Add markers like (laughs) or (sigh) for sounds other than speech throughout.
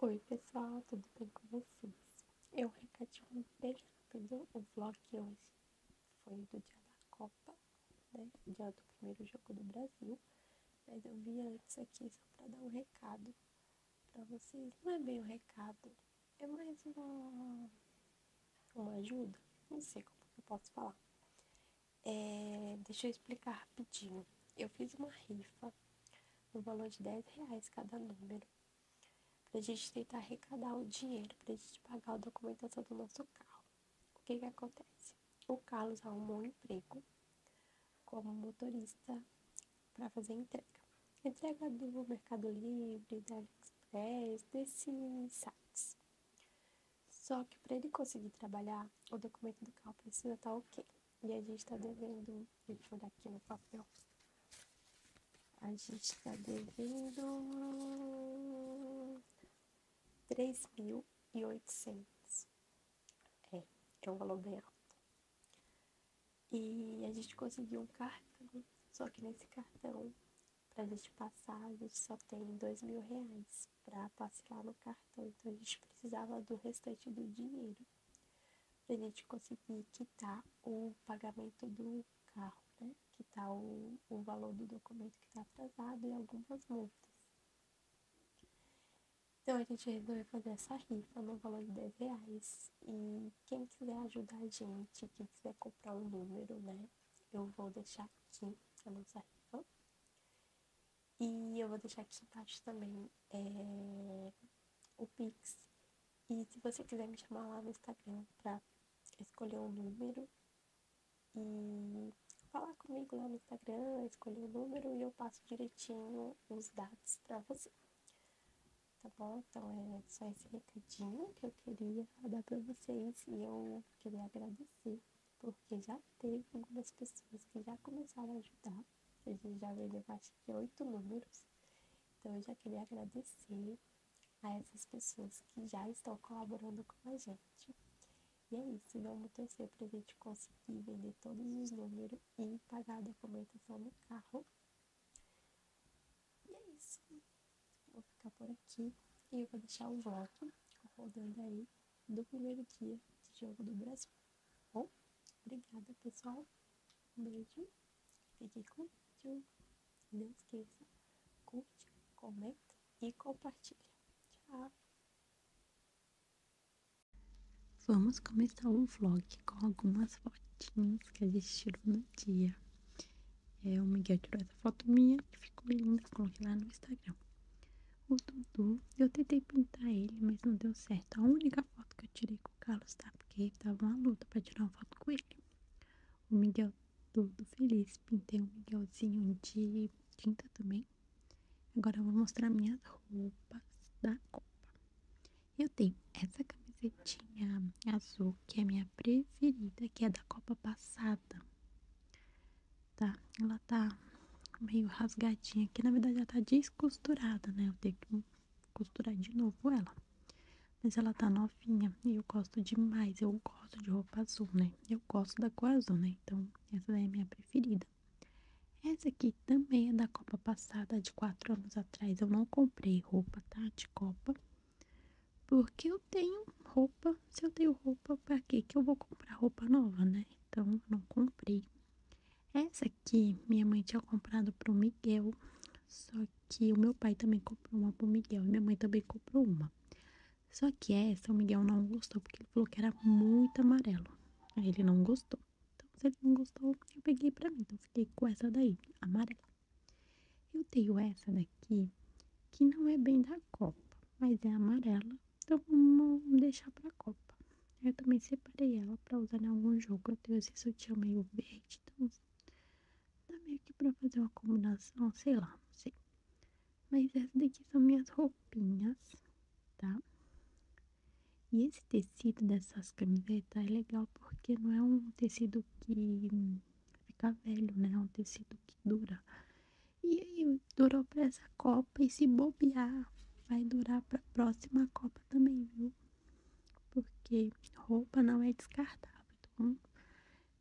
Oi pessoal, tudo bem com vocês? Eu recadinho bem rápido, o vlog hoje foi do dia da Copa, né? Dia do primeiro jogo do Brasil, mas eu vim antes aqui só para dar um recado para vocês. Não é bem um recado, é mais uma, uma ajuda, não sei como eu posso falar. É, deixa eu explicar rapidinho. Eu fiz uma rifa no valor de 10 reais cada número, para a gente tentar arrecadar o dinheiro, para a gente pagar a documentação do nosso carro. O que, que acontece? O Carlos arrumou um emprego como motorista para fazer entrega. Entrega do Mercado Livre, da AliExpress, desses sites. Só que para ele conseguir trabalhar, o documento do carro precisa estar tá ok. E a gente está devendo. Deixa eu aqui no papel. A gente está devendo. 3.800. É, é um valor bem alto. E a gente conseguiu um cartão. Só que nesse cartão, para a gente passar, a gente só tem dois mil reais para passear no cartão, então a gente precisava do restante do dinheiro para a gente conseguir quitar o pagamento do carro, né? Quitar o, o valor do documento que está atrasado e algumas multas. Então a gente resolveu fazer essa rifa no valor de 10 reais. E quem quiser ajudar a gente, quem quiser comprar um número, né? Eu vou deixar aqui a nossa rifa. E eu vou deixar aqui embaixo também eh, o Pix. E se você quiser me chamar lá no Instagram para escolher um número e falar comigo lá no Instagram, escolher o um número e eu passo direitinho os dados para você. Tá bom? Então é só esse recadinho que eu queria dar para vocês e eu queria agradecer porque já teve algumas pessoas que já começaram a ajudar. A gente já vendeu mais de oito números. Então eu já queria agradecer a essas pessoas que já estão colaborando com a gente. E é isso, vamos torcer para a gente conseguir vender todos os números e pagar a documentação do carro. E é isso. Vou ficar por aqui e eu vou deixar o voto rodando aí do primeiro dia de jogo do Brasil. Bom, obrigada, pessoal. Um beijo. Fique com vídeo. não esqueça, curte, comenta e compartilha. Tchau! Vamos começar o vlog com algumas fotinhas que a gente tirou no dia. É, o Miguel tirou essa foto minha, que ficou linda, coloquei lá no Instagram o Dudu. Eu tentei pintar ele, mas não deu certo. A única foto que eu tirei com o Carlos, tá? Porque tava uma luta para tirar uma foto com ele. O Miguel todo feliz. Pintei o Miguelzinho de tinta também. Agora vou mostrar minhas roupas da Copa. Eu tenho essa camisetinha azul, que é minha preferida, que é da Copa passada tá? Ela tá meio rasgadinha aqui, na verdade ela tá descosturada, né? Eu tenho que costurar de novo ela. Mas ela tá novinha e eu gosto demais. Eu gosto de roupa azul, né? Eu gosto da cor azul, né? Então, essa daí é a minha preferida. Essa aqui também é da Copa passada, de 4 anos atrás. Eu não comprei roupa, tá? De Copa. Porque eu tenho roupa se eu tenho roupa para que eu vou comprar roupa nova, né? Então não comprei. Essa aqui minha mãe tinha comprado para o Miguel, só que o meu pai também comprou uma para o Miguel e minha mãe também comprou uma. Só que essa o Miguel não gostou porque ele falou que era muito amarelo. Aí ele não gostou. Então se ele não gostou, eu peguei para mim. Então fiquei com essa daí, amarela. Eu tenho essa daqui que não é bem da Copa, mas é amarela então vamos deixar para a Copa. Eu também separei ela para usar em algum jogo. Eu tenho esse sutiã meio verde, então dá meio que pra fazer uma combinação, sei lá, não sei. Mas essas daqui são minhas roupinhas, tá? E esse tecido dessas camisetas é legal porque não é um tecido que fica velho, né? É um tecido que dura. E aí durou para essa Copa e se bobear, vai durar para próxima Copa também, viu? Porque roupa não é descartável, então,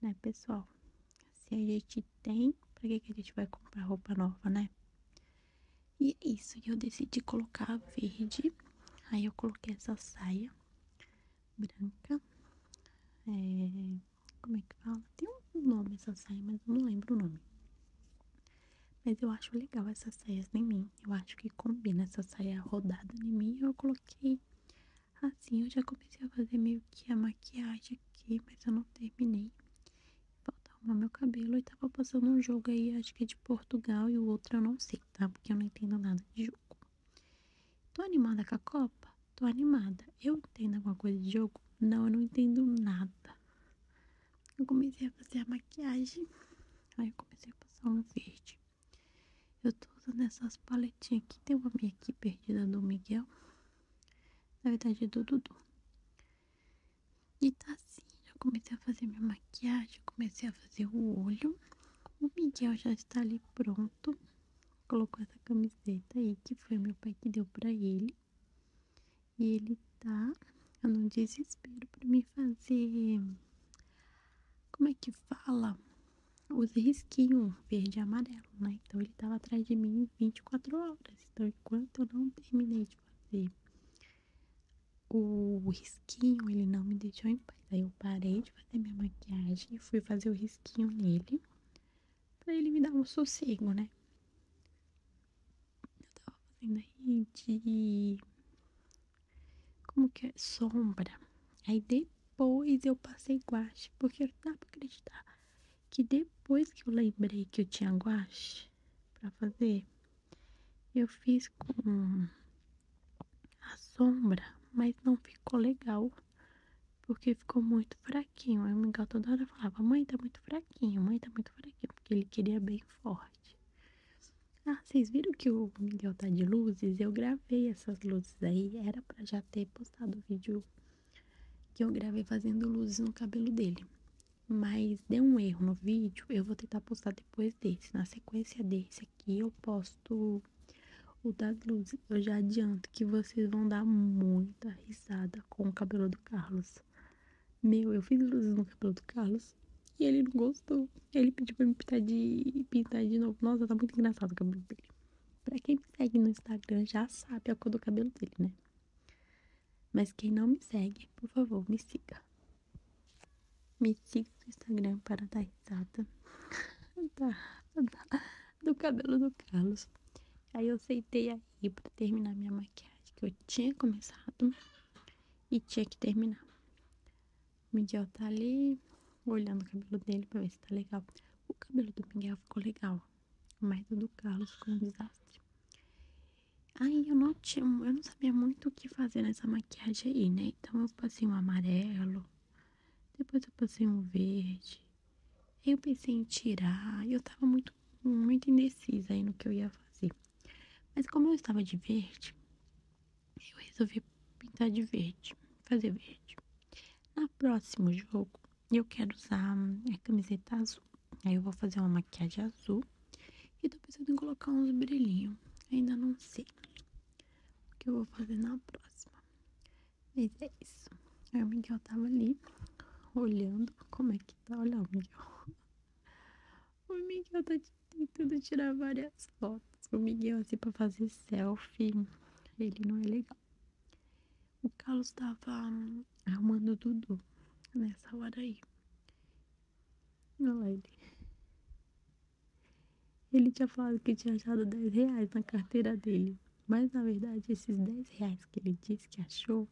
né, pessoal? Se a gente tem, para que, que a gente vai comprar roupa nova, né? E é isso, eu decidi colocar verde. Aí eu coloquei essa saia branca. É, como é que fala? Tem um nome essa saia, mas eu não lembro o nome. Mas eu acho legal essas saias em mim. Eu acho que combina essa saia rodada em mim. Eu coloquei assim. Eu já comecei a fazer meio que a maquiagem aqui, mas eu não terminei. Falta arrumar meu cabelo. E tava passando um jogo aí, acho que é de Portugal. E o outro eu não sei, tá? Porque eu não entendo nada de jogo. Tô animada com a Copa? tô animada. Eu entendo alguma coisa de jogo? Não, eu não entendo nada. Eu comecei a fazer a maquiagem. Aí eu comecei a passar um verde. Eu tô usando essas paletinhas aqui. Tem uma minha aqui perdida do Miguel. Na verdade é do Dudu. E tá assim. Já comecei a fazer minha maquiagem. Comecei a fazer o olho. O Miguel já está ali pronto. Colocou essa camiseta aí, que foi meu pai que deu pra ele. E ele tá no desespero para me fazer. Como é que fala? Os risquinhos verde e amarelo, né? Então ele tava atrás de mim 24 horas. Então enquanto eu não terminei de fazer o risquinho, ele não me deixou em paz. Aí eu parei de fazer minha maquiagem e fui fazer o risquinho nele para ele me dar um sossego, né? Eu tava fazendo aí de. Como que é? Sombra. Aí depois eu passei guache, porque não dá pra acreditar que depois que eu lembrei que eu tinha guache pra fazer, eu fiz com a sombra, mas não ficou legal porque ficou muito fraquinho. Aí o Miguel toda hora falava: "Mamãe tá muito fraquinho, mãe, tá muito fraquinho, porque ele queria bem forte. Ah, vocês viram que o Miguel tá de luzes? Eu gravei essas luzes aí, era para já ter postado o vídeo que eu gravei fazendo luzes no cabelo dele. Mas deu um erro no vídeo, eu vou tentar postar depois desse. Na sequência desse aqui, eu posto o das luzes eu já adianto que vocês vão dar muita risada com o cabelo do Carlos. Meu, eu fiz luzes no cabelo do Carlos e ele não gostou. Ele pediu pra me pintar de, pintar de novo. Nossa, tá muito engraçado o cabelo dele. Pra quem me segue no Instagram já sabe a cor do cabelo dele, né? Mas quem não me segue, por favor, me siga. Me siga no Instagram para dar risada (laughs) do cabelo do Carlos. Aí eu aceitei a rir pra terminar minha maquiagem que eu tinha começado e tinha que terminar. O Miguel tá ali olhando o cabelo dele pra ver se tá legal. O cabelo do Miguel ficou legal, mas o do Carlos ficou um desastre. Aí eu não tinha, eu não sabia muito o que fazer nessa maquiagem aí, né? Então eu passei um amarelo, depois eu passei um verde, eu pensei em tirar, e eu tava muito, muito indecisa aí no que eu ia fazer. Mas como eu estava de verde, eu resolvi pintar de verde, fazer verde. Na próximo jogo, eu quero usar hum, a camiseta azul. Aí eu vou fazer uma maquiagem azul e tô pensando em colocar uns brilhinhos. Ainda não sei o que eu vou fazer na próxima. Mas é isso. Aí o Miguel tava ali, olhando como é que tá. Olha o Miguel. (laughs) O tá tentando tirar várias fotos. O Miguel, assim, pra fazer selfie, ele não é legal. O Carlos tava hum, arrumando o Dudu nessa hora aí. Olha lá ele. Ele tinha falado que tinha achado 10 reais na carteira dele. Mas na verdade, esses 10 reais que ele disse que achou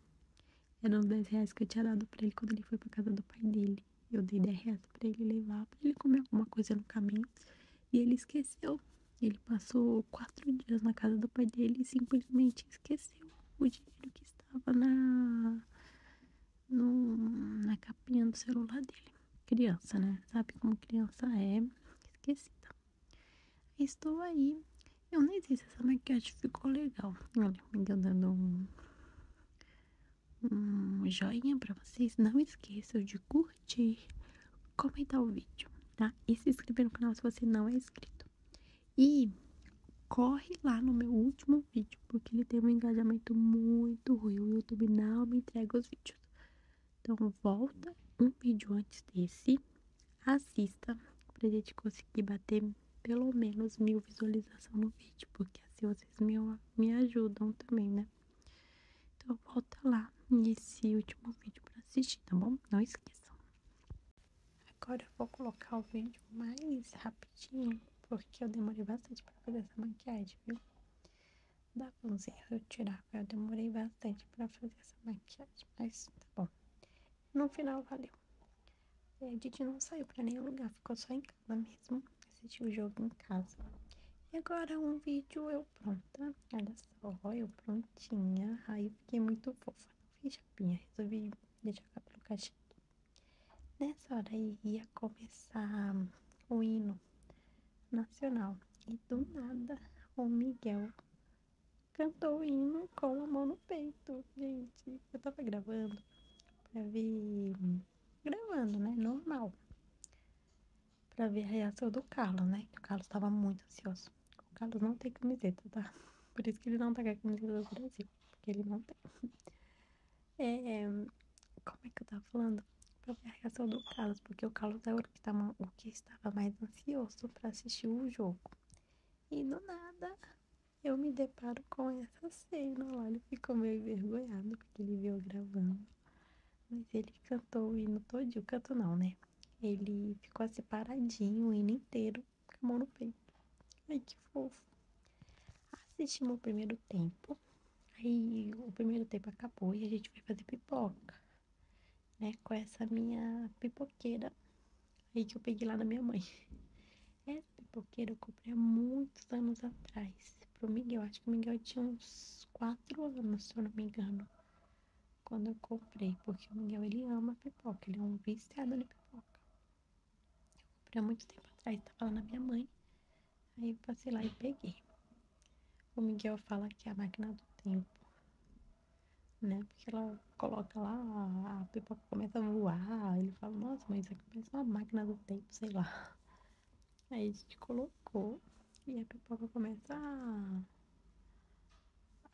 eram 10 reais que eu tinha dado pra ele quando ele foi pra casa do pai dele. Eu dei 10 reais pra ele levar, pra ele comer alguma coisa no caminho. E ele esqueceu. Ele passou quatro dias na casa do pai dele e simplesmente esqueceu o dinheiro que estava na, na capinha do celular dele. Criança, né? Sabe como criança é esquecida. Estou aí. Eu nem sei se essa maquiagem ficou legal. Olha, me dando um, um joinha para vocês. Não esqueçam de curtir, comentar o vídeo, tá? E se inscrever no canal se você não é inscrito. E corre lá no meu último vídeo, porque ele tem um engajamento muito ruim. O YouTube não me entrega os vídeos. Então, volta um vídeo antes desse, assista, para a gente conseguir bater pelo menos mil visualizações no vídeo, porque assim vocês me, me ajudam também, né? Então, volta lá nesse último vídeo para assistir, tá bom? Não esqueçam. Agora vou colocar o vídeo mais rapidinho, porque eu demorei bastante para fazer essa maquiagem, viu? dá uns eu tirar, eu demorei bastante para fazer essa maquiagem, mas tá bom. No final, valeu. E é, a Didi não saiu para nenhum lugar, ficou só em casa mesmo, assistiu o jogo em casa. E agora um vídeo eu pronta, olha só, eu prontinha, aí eu fiquei muito fofa, não fiz chapinha, resolvi deixar o cabelo cacheado. Nessa hora aí ia começar o hino nacional. E do nada, o Miguel cantou o hino com a mão no peito. Gente, eu tava gravando pra ver. Gravando, né? Normal. Pra ver a reação do Carlos, né? o Carlos tava muito ansioso. O Carlos não tem camiseta, tá? (laughs) Por isso que ele não tá com a camiseta do Brasil. Porque ele não tem. (laughs) É, é, como é que eu tava falando? para ver a reação do Carlos, porque o Carlos é era tá o que, estava mais ansioso para assistir o jogo. E do nada eu me deparo com essa cena lá. Ele ficou meio envergonhado porque ele viu gravando. Mas ele cantou o hino todinho. Canto não, né? Ele ficou assim paradinho o hino inteiro, com a mão no peito. Ai, que fofo. Assistimos o primeiro tempo. Aí o primeiro tempo acabou e a gente foi fazer pipoca, né? Com essa minha pipoqueira aí que eu peguei lá da minha mãe. (laughs) Essa pipoqueira eu comprei há muitos anos atrás para o Miguel. Acho que o Miguel tinha uns 4 anos, se eu não me engano, quando eu comprei. Porque o Miguel, ele ama pipoca, ele é um viciado de pipoca. Eu comprei há muito tempo atrás, estava lá na minha mãe. Aí passei lá e peguei. O Miguel fala que é a máquina do tempo, né? Porque ela coloca lá, a pipoca começa a voar. Ele fala, nossa, mas isso aqui parece uma máquina do tempo, sei lá. Aí a gente colocou e a pipoca começa a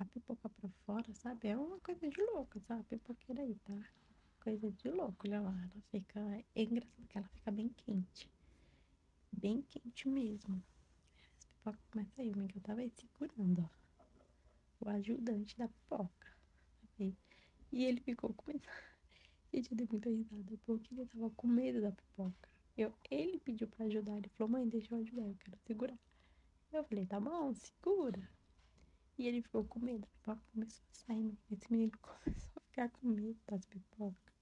a pipoca pra fora, sabe? É uma coisa de louco, sabe? A pipoqueira aí, tá? Coisa de louco, olha lá. Ela fica. É engraçada porque ela fica bem quente bem quente mesmo. As pipocas começam a ir, que eu tava aí segurando, ó. O ajudante da pipoca. E ele ficou com medo. (laughs) Gente, te dei muita risada, porque ele tava com medo da pipoca. Eu, ele pediu pra ajudar, ele falou, mãe, deixa eu ajudar, eu quero segurar. Eu falei, tá bom, segura. E ele ficou com medo, a pipoca começou a sair, né? esse menino (laughs) começou ficar com medo das pipocas.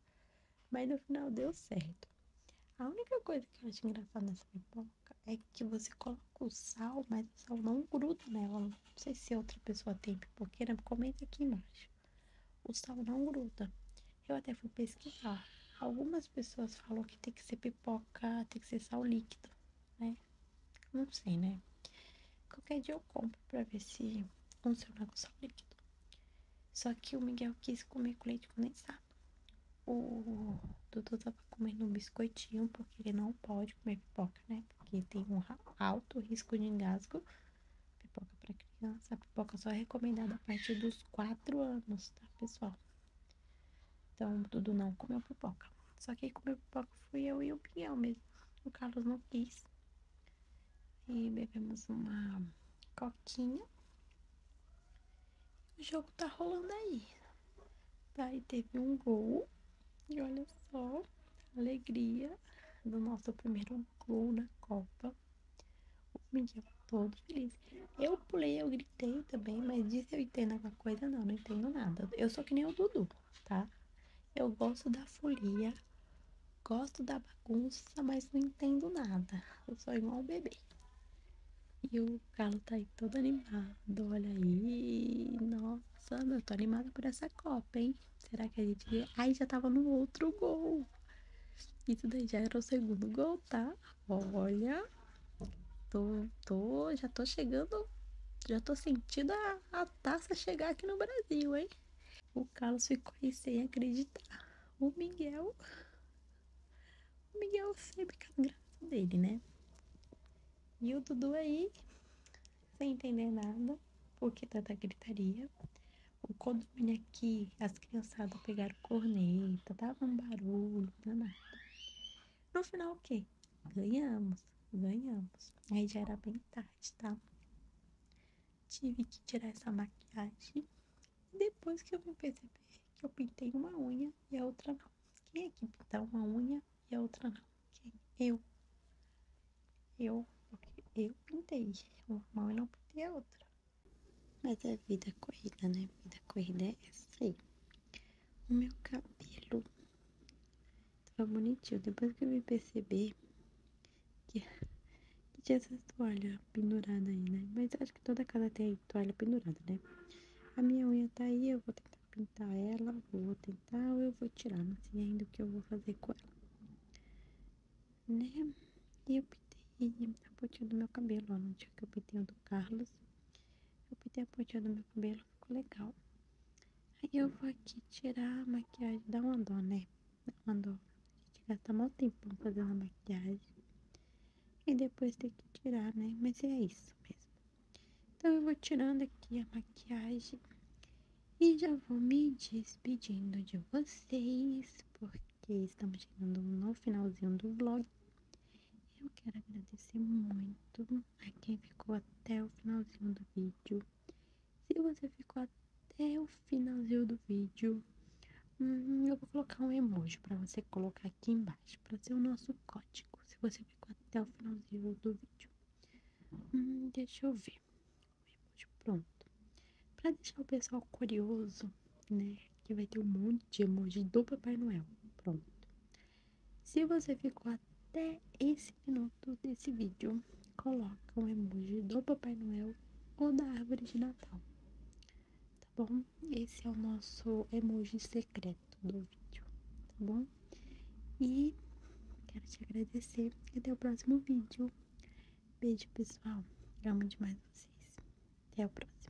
Mas no final deu certo. A única coisa que eu acho engraçada nessa pipoca é que você coloca o sal, mas o sal não gruda nela. Não sei se outra pessoa tem pipoqueira, comenta aqui embaixo. O sal não gruda. Eu até fui pesquisar. Algumas pessoas falam que tem que ser pipoca, tem que ser sal líquido, né? Não sei, né? Qualquer dia eu compro pra ver se funciona com sal líquido. Só que o Miguel quis comer com leite condensado. O Dudu tava comendo um biscoitinho, porque ele não pode comer pipoca, né? Porque tem um alto risco de engasgo. Pipoca para criança. A pipoca só é recomendada a partir dos 4 anos, tá, pessoal? Então, o Dudu não comeu pipoca. Só que quem comeu pipoca fui eu e o Miguel mesmo. O Carlos não quis. E bebemos uma coquinha. O jogo tá rolando aí. Daí teve um gol. E olha só, alegria do nosso primeiro gol na Copa. O Miguel todo feliz. Eu pulei, eu gritei também, mas disso eu entendo alguma coisa, não, não entendo nada. Eu sou que nem o Dudu, tá? Eu gosto da folia, gosto da bagunça, mas não entendo nada. Eu sou igual bebê. E o Galo tá aí todo animado, olha aí. Nossa, eu tô animada por essa Copa, hein? Será que a gente. Ai, já tava no outro gol. Isso daí já era o segundo gol, tá? Olha. Tô, tô, já tô chegando. Já tô sentindo a taça chegar aqui no Brasil, hein? O Carlos ficou aí sem acreditar. O Miguel. O Miguel sempre com graça dele, né? E o Dudu aí, sem entender nada, porque tanta gritaria. O condomínio aqui, as criançadas pegaram corneta, tava um barulho, nada. No final, o quê? Ganhamos, ganhamos. Aí já era bem tarde, tá? tive que tirar essa maquiagem. Depois que eu me perceber que eu pintei uma unha e a outra não. Quem é que pintar uma unha e a outra não? Quem? Eu. Eu, porque eu pintei uma unha e não pintei a outra. Mas é vida corrida, né? Vida corrida é assim. O meu cabelo Tava tá bonitinho. Depois que eu me perceber que, tinha essa toalha pendurada aí, né? Mas acho que toda casa tem toalha pendurada, né? A minha unha tá aí, eu vou tentar pintar ela, vou tentar ou eu vou tirar, não sei ainda o que eu vou fazer com ela. Né? E eu pintei a pontinha do meu cabelo, ó, no dia que eu pintei o do Carlos. Eu pintei a pontinha do meu cabelo, ficou legal. Aí eu vou aqui tirar a maquiagem, dá uma dó, né? mandou a gente gastar mal tempo fazendo a maquiagem e depois ter que tirar, né? Mas é isso mesmo. Então eu vou tirando aqui a maquiagem e já vou me despedindo de vocês, porque estamos chegando no finalzinho do vlog. Eu quero agradecer muito a quem ficou até o finalzinho do vídeo. Se você ficou até o finalzinho do vídeo, hum, eu vou colocar um emoji para você colocar aqui embaixo, para ser o nosso código. Se você ficou até o finalzinho do vídeo, hum, deixa eu ver. pronto. Para deixar o pessoal curioso, né? Que vai ter um monte de emoji do Papai Noel. Pronto. Se você ficou até esse minuto desse vídeo, coloca um emoji do Papai Noel ou da árvore de Natal. Tá bom? Esse é o nosso emoji secreto do vídeo, tá bom? E quero te agradecer até o próximo vídeo. Beijo, pessoal. amo demais vocês. Até o próximo.